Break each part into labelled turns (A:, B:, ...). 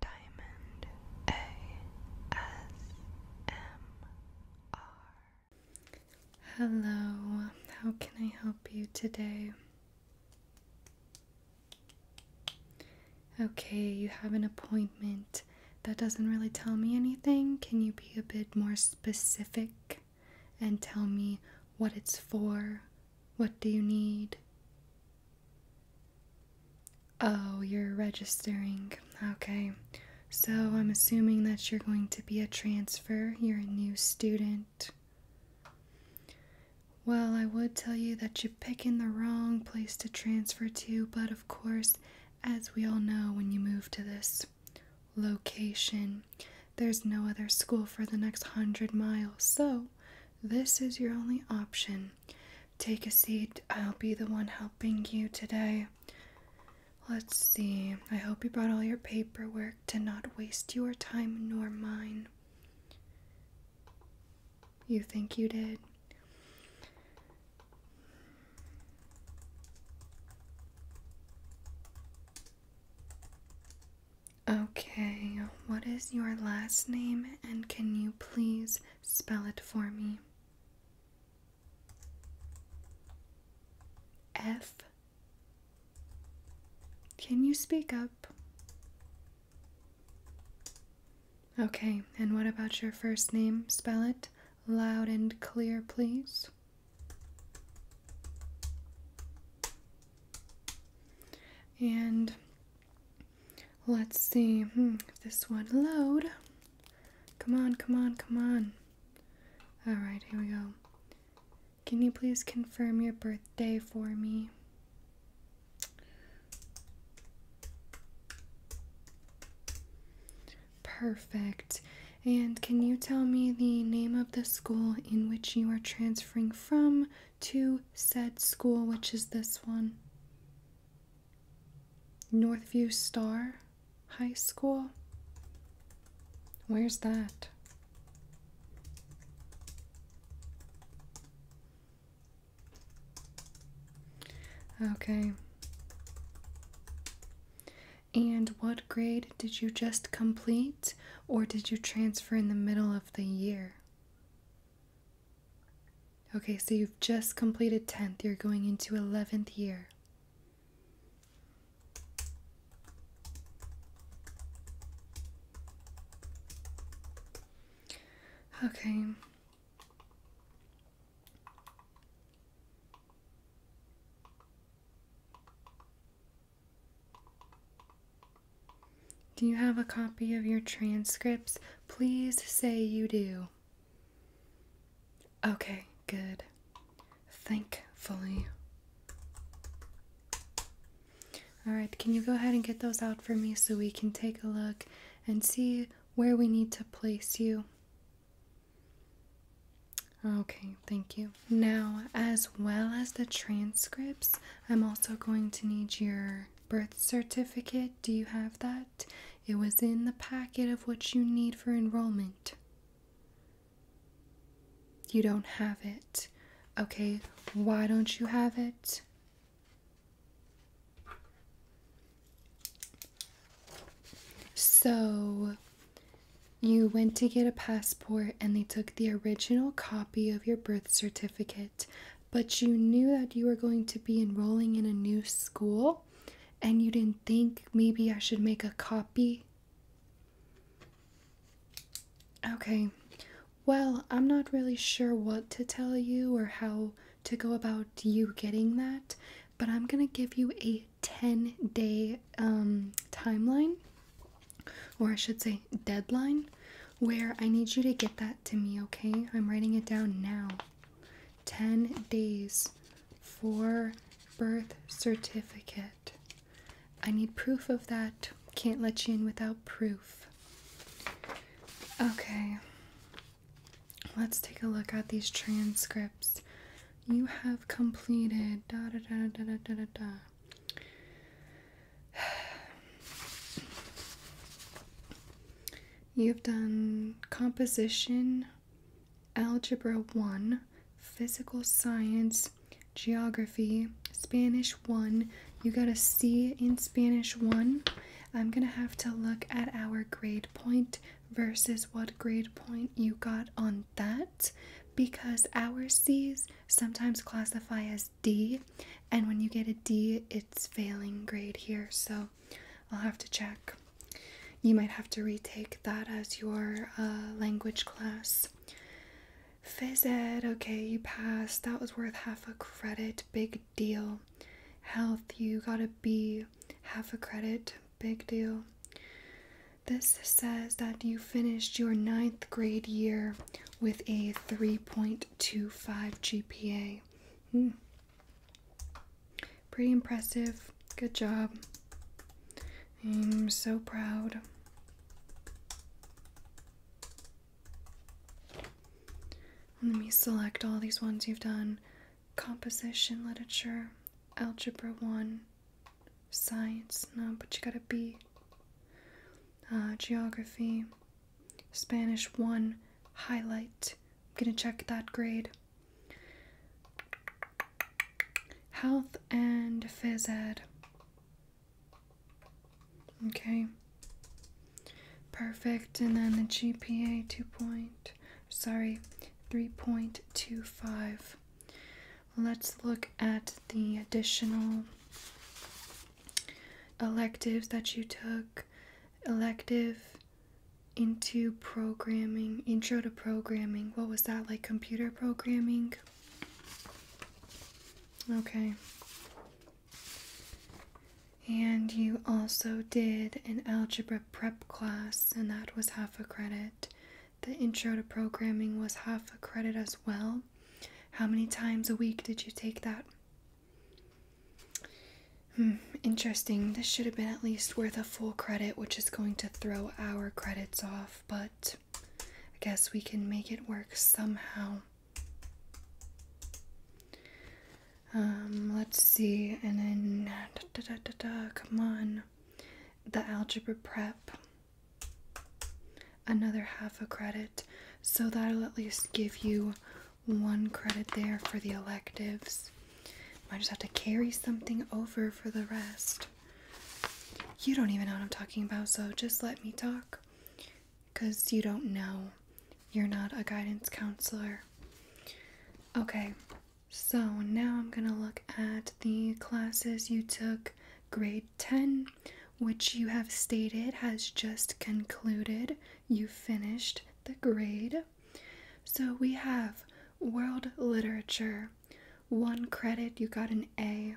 A: Diamond ASMR. Hello, how can I help you today? Okay, you have an appointment. That doesn't really tell me anything. Can you be a bit more specific and tell me what it's for? What do you need? Oh, you're registering. Okay. So I'm assuming that you're going to be a transfer. You're a new student. Well, I would tell you that you're picking the wrong place to transfer to, but of course, as we all know, when you move to this location, there's no other school for the next hundred miles, so this is your only option. Take a seat. I'll be the one helping you today. Let's see. I hope you brought all your paperwork to not waste your time nor mine. You think you did? Okay, what is your last name and can you please spell it for me? F. Can you speak up? Okay, and what about your first name? Spell it loud and clear, please. And Let's see if hmm, this one load. Come on, come on, come on. All right, here we go. Can you please confirm your birthday for me? Perfect. And can you tell me the name of the school in which you are transferring from to said school, which is this one Northview Star High School. Where's that? Okay. And what grade did you just complete, or did you transfer in the middle of the year? Okay, so you've just completed 10th, you're going into 11th year. Okay. Do you have a copy of your transcripts? Please say you do. Okay, good. Thankfully. Alright, can you go ahead and get those out for me so we can take a look and see where we need to place you? Okay, thank you. Now, as well as the transcripts, I'm also going to need your birth certificate do you have that? It was in the packet of what you need for enrollment. You don't have it. Okay, why don't you have it? So, you went to get a passport and they took the original copy of your birth certificate but you knew that you were going to be enrolling in a new school and you didn't think maybe I should make a copy? Okay, well, I'm not really sure what to tell you or how to go about you getting that, but I'm gonna give you a 10 day um, timeline, or I should say, deadline, where I need you to get that to me, okay? I'm writing it down now. 10 days for birth certificate. I need proof of that. Can't let you in without proof. Okay. Let's take a look at these transcripts. You have completed da da da da da da da. You've done composition, algebra 1, physical science, geography, Spanish 1. You got a C in Spanish 1. I'm going to have to look at our grade point versus what grade point you got on that because our C's sometimes classify as D, and when you get a D, it's failing grade here, so I'll have to check. You might have to retake that as your uh, language class. Phys ed, okay, you passed. That was worth half a credit, big deal. Health, you got a B, half a credit, big deal. This says that you finished your ninth grade year with a 3.25 GPA. Hmm. Pretty impressive. Good job. I'm so proud. Let me select all these ones you've done composition, literature, algebra 1, science, no, but you got a B, uh, geography, Spanish 1 highlight. I'm going to check that grade. Health and phys ed. Okay. Perfect. And then the GPA 2 point, sorry, 3.25. Let's look at the additional electives that you took, elective into programming, intro to programming. What was that like? Computer programming? Okay. And you also did an algebra prep class, and that was half a credit. The intro to programming was half a credit as well. How many times a week did you take that? Hmm, interesting. This should have been at least worth a full credit, which is going to throw our credits off, but I guess we can make it work somehow. Um, let's see, and then come on. The algebra prep. Another half a credit. So that'll at least give you one credit there for the electives. I just have to carry something over for the rest. You don't even know what I'm talking about, so just let me talk. Because you don't know. You're not a guidance counselor. Okay, so now I'm going to look at the classes you took grade 10, which you have stated has just concluded you finished the grade. So we have world literature, one credit, you got an A,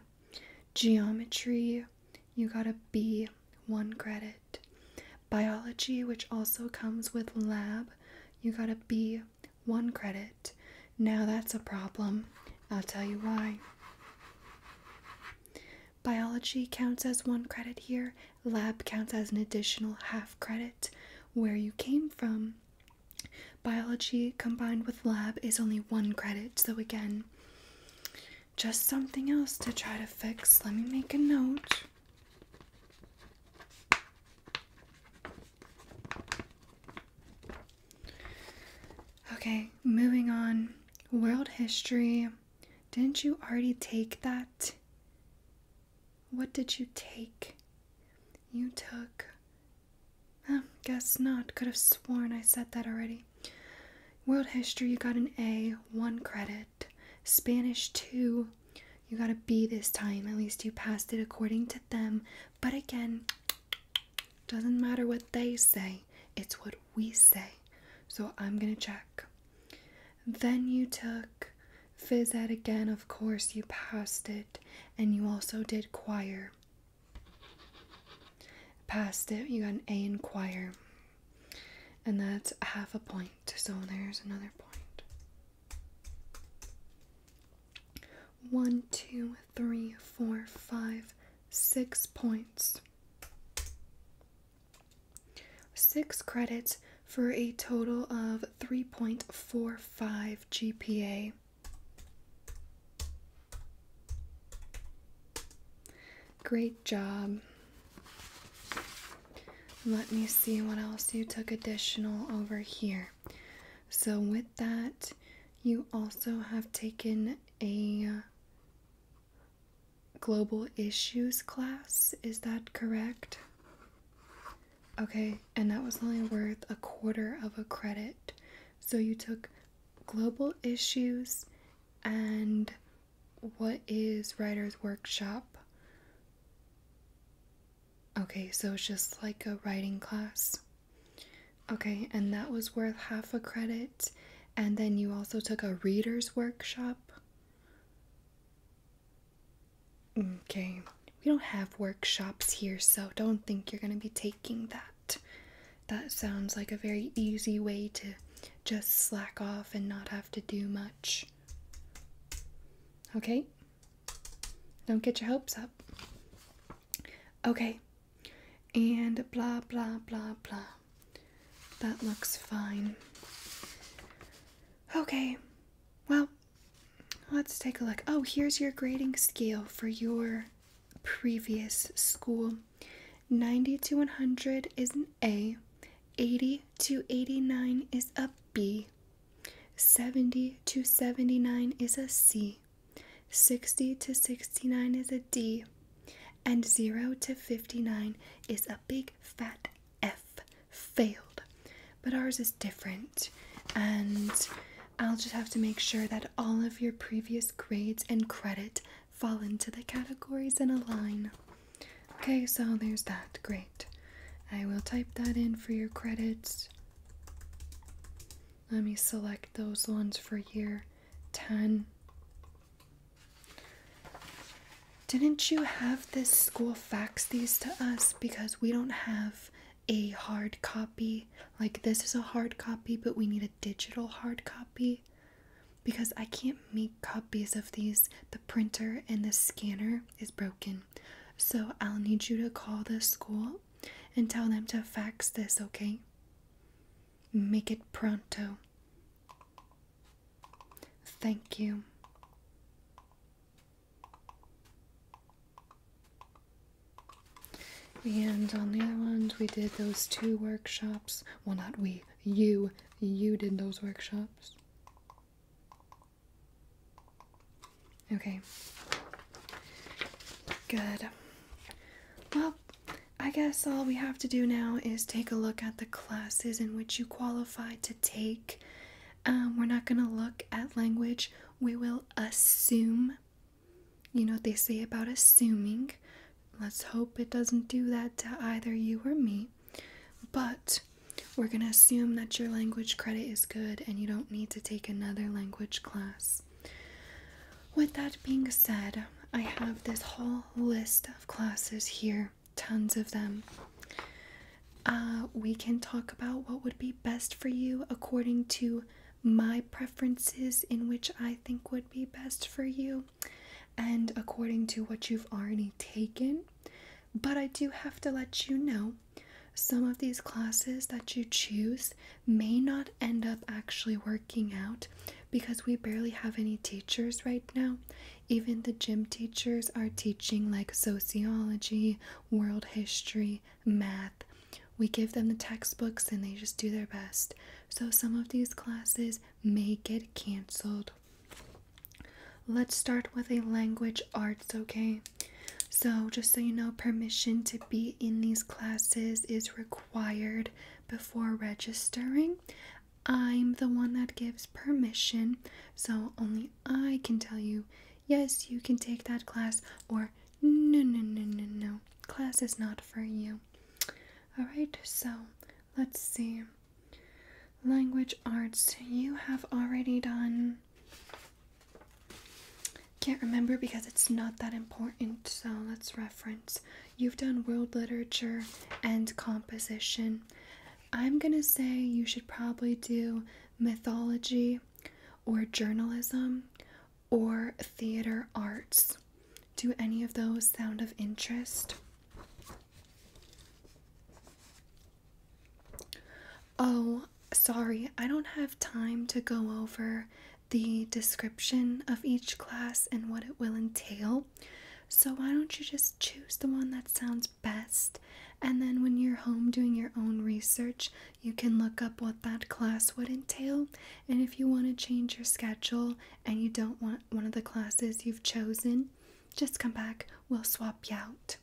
A: geometry, you got a B, one credit, biology, which also comes with lab, you got a B, one credit. Now that's a problem. I'll tell you why. Biology counts as one credit here, lab counts as an additional half credit. Where you came from, biology combined with lab is only one credit. So, again, just something else to try to fix. Let me make a note. Okay, moving on. World history. Didn't you already take that? What did you take? You took. Um, guess not. Could have sworn I said that already. World history, you got an A, one credit. Spanish, two. You got a B this time. At least you passed it according to them. But again, doesn't matter what they say, it's what we say. So I'm gonna check. Then you took Fizzed again, of course, you passed it, and you also did choir. Passed it, you got an A in choir, and that's half a point, so there's another point. One, two, three, four, five, six points. Six credits for a total of 3.45 GPA. Great job. Let me see what else you took additional over here. So, with that, you also have taken a global issues class. Is that correct? Okay, and that was only worth a quarter of a credit. So you took global issues and what is writer's workshop? Okay, so it's just like a writing class. Okay, and that was worth half a credit. And then you also took a reader's workshop. Okay, we don't have workshops here, so don't think you're going to be taking that. That sounds like a very easy way to just slack off and not have to do much. Okay? Don't get your hopes up. Okay. And blah, blah, blah, blah that looks fine. Okay, well, let's take a look. Oh, here's your grading scale for your previous school 90 to 100 is an A, 80 to 89 is a B, 70 to 79 is a C, 60 to 69 is a D, and 0 to 59 is a big fat F, failed. But ours is different, and I'll just have to make sure that all of your previous grades and credit fall into the categories and align. Okay, so there's that. Great. I will type that in for your credits. Let me select those ones for year 10. Didn't you have this school fax these to us because we don't have a hard copy? Like, this is a hard copy, but we need a digital hard copy because I can't make copies of these. The printer and the scanner is broken. So, I'll need you to call the school and tell them to fax this, okay? Make it pronto. Thank you. And on the other ones, we did those two workshops. Well, not we, you. You did those workshops. Okay. Good. Well, I guess all we have to do now is take a look at the classes in which you qualify to take. Um, we're not going to look at language, we will assume. You know what they say about assuming. Let's hope it doesn't do that to either you or me. But we're going to assume that your language credit is good and you don't need to take another language class. With that being said, I have this whole list of classes here, tons of them. Uh, we can talk about what would be best for you according to my preferences, in which I think would be best for you, and according to what you've already taken. But I do have to let you know some of these classes that you choose may not end up actually working out because we barely have any teachers right now. Even the gym teachers are teaching like sociology, world history, math. We give them the textbooks and they just do their best. So some of these classes may get canceled. Let's start with a language arts, okay? So, just so you know, permission to be in these classes is required before registering. I'm the one that gives permission, so only I can tell you, yes, you can take that class, or no, no, no, no, no, class is not for you. Alright, so let's see. Language arts, you have already done. Can't remember because it's not that important, so let's reference. You've done world literature and composition. I'm going to say you should probably do mythology or journalism or theater arts. Do any of those sound of interest? Oh, sorry, I don't have time to go over the description of each class and what it will entail. So, why don't you just choose the one that sounds best? And then, when you're home doing your own research, you can look up what that class would entail. And if you want to change your schedule and you don't want one of the classes you've chosen, just come back, we'll swap you out.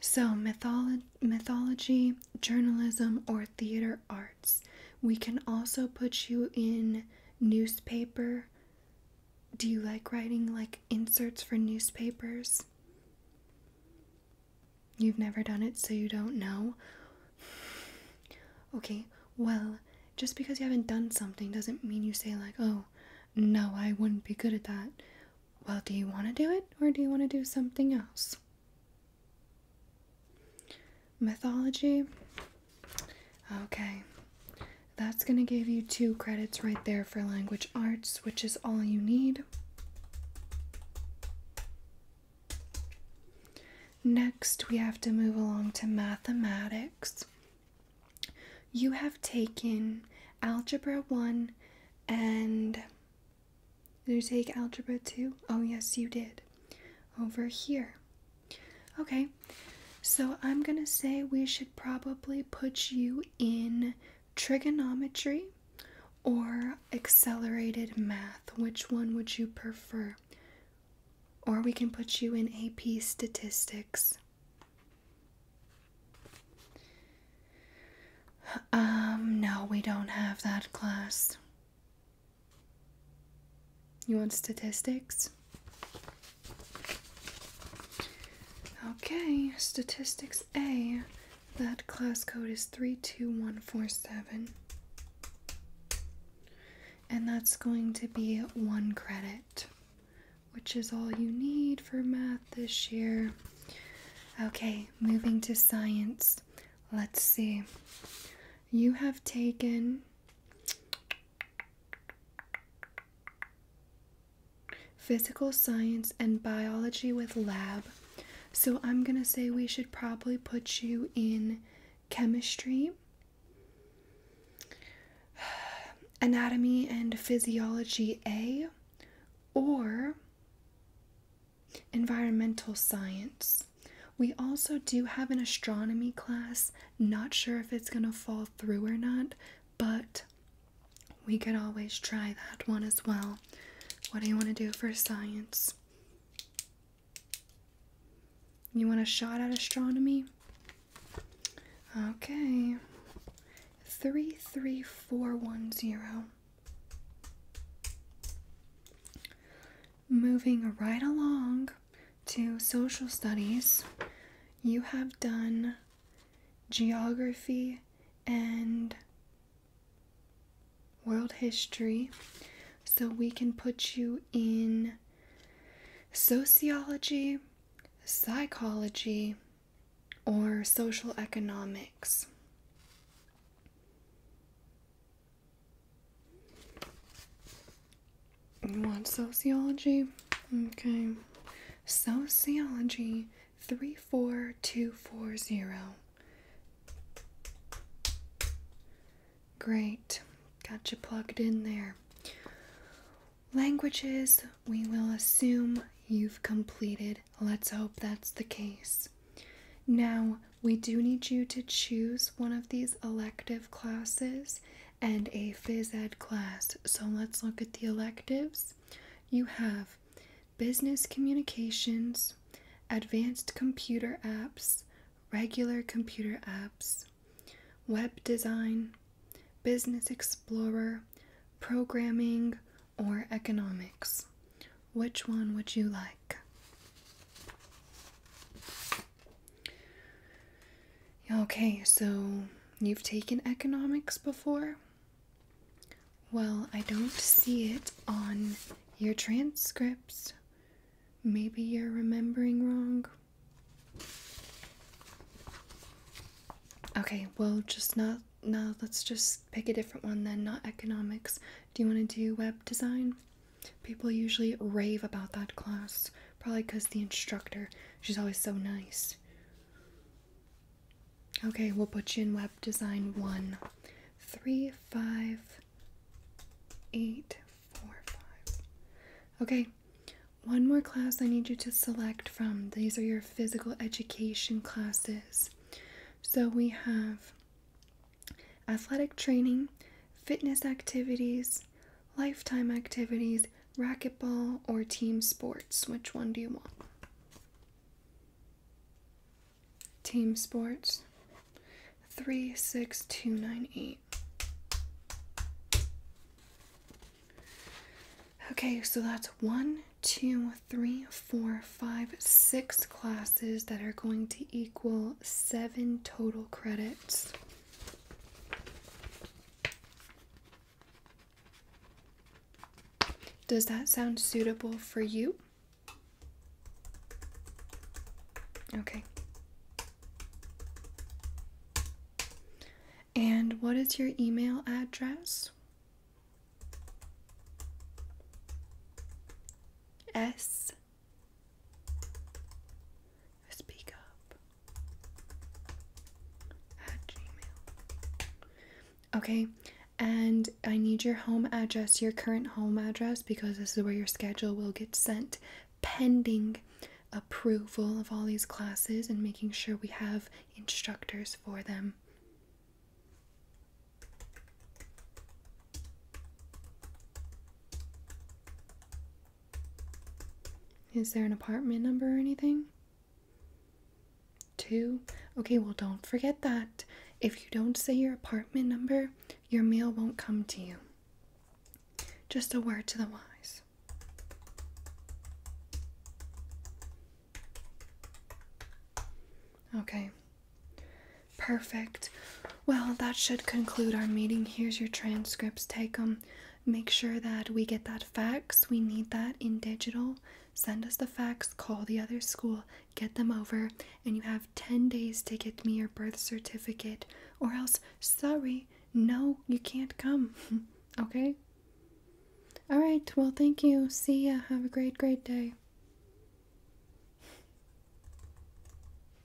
A: So, mythology, journalism, or theater arts. We can also put you in newspaper? Do you like writing like inserts for newspapers? You've never done it, so you don't know. Okay, well, just because you haven't done something doesn't mean you say, like, oh, no, I wouldn't be good at that. Well, do you want to do it or do you want to do something else? mythology. Okay, that's going to give you two credits right there for language arts, which is all you need. Next, we have to move along to mathematics. You have taken Algebra 1 and. Did you take Algebra 2? Oh, yes, you did. Over here. Okay, so I'm gonna say we should probably put you in trigonometry or accelerated math. Which one would you prefer? Or we can put you in AP statistics. Um, no, we don't have that class. You want statistics? Okay, statistics A. That class code is 32147. And that's going to be one credit, which is all you need for math this year. Okay, moving to science. Let's see. You have taken Physical science and biology with lab. So I'm going to say we should probably put you in chemistry, anatomy and physiology A, or environmental science. We also do have an astronomy class. Not sure if it's going to fall through or not, but we could always try that one as well. What do you want to do for science? You want a shot at astronomy? Okay. 33410. Moving right along, to social studies, you have done geography and world history. So we can put you in sociology, psychology, or social economics. You want sociology? Okay. Sociology 34240. Great. Got you plugged in there. Languages, we will assume you've completed. Let's hope that's the case. Now, we do need you to choose one of these elective classes and a phys ed class. So let's look at the electives. You have business communications, advanced computer apps, regular computer apps, web design, business explorer, programming, or economics. Which one would you like? Okay, so you've taken economics before? Well, I don't see it on your transcripts. Maybe you're remembering wrong. Okay, well, just not, now. let's just pick a different one then, not economics. Do you want to do web design? People usually rave about that class, probably because the instructor, she's always so nice. Okay, we'll put you in web design one, three, five, eight, four, five. Okay, one more class I need you to select from. These are your physical education classes. So we have athletic training, fitness activities, lifetime activities, racquetball, or team sports. Which one do you want? Team sports. 36298. Okay, so that's one, two, three, four, five, six classes that are going to equal seven total credits. Does that sound suitable for you? Okay. And what is your email address? S speak up Okay, and I need your home address, your current home address, because this is where your schedule will get sent pending approval of all these classes and making sure we have instructors for them. Is there an apartment number or anything? Two? Okay, well, don't forget that. If you don't say your apartment number, your mail won't come to you. Just a word to the wise. Okay. Perfect. Well, that should conclude our meeting. Here's your transcripts. Take them. Make sure that we get that fax. We need that in digital. Send us the fax, call the other school, get them over, and you have 10 days to get me your birth certificate, or else, sorry, no, you can't come. okay? All right, well, thank you. See ya. Have a great, great day.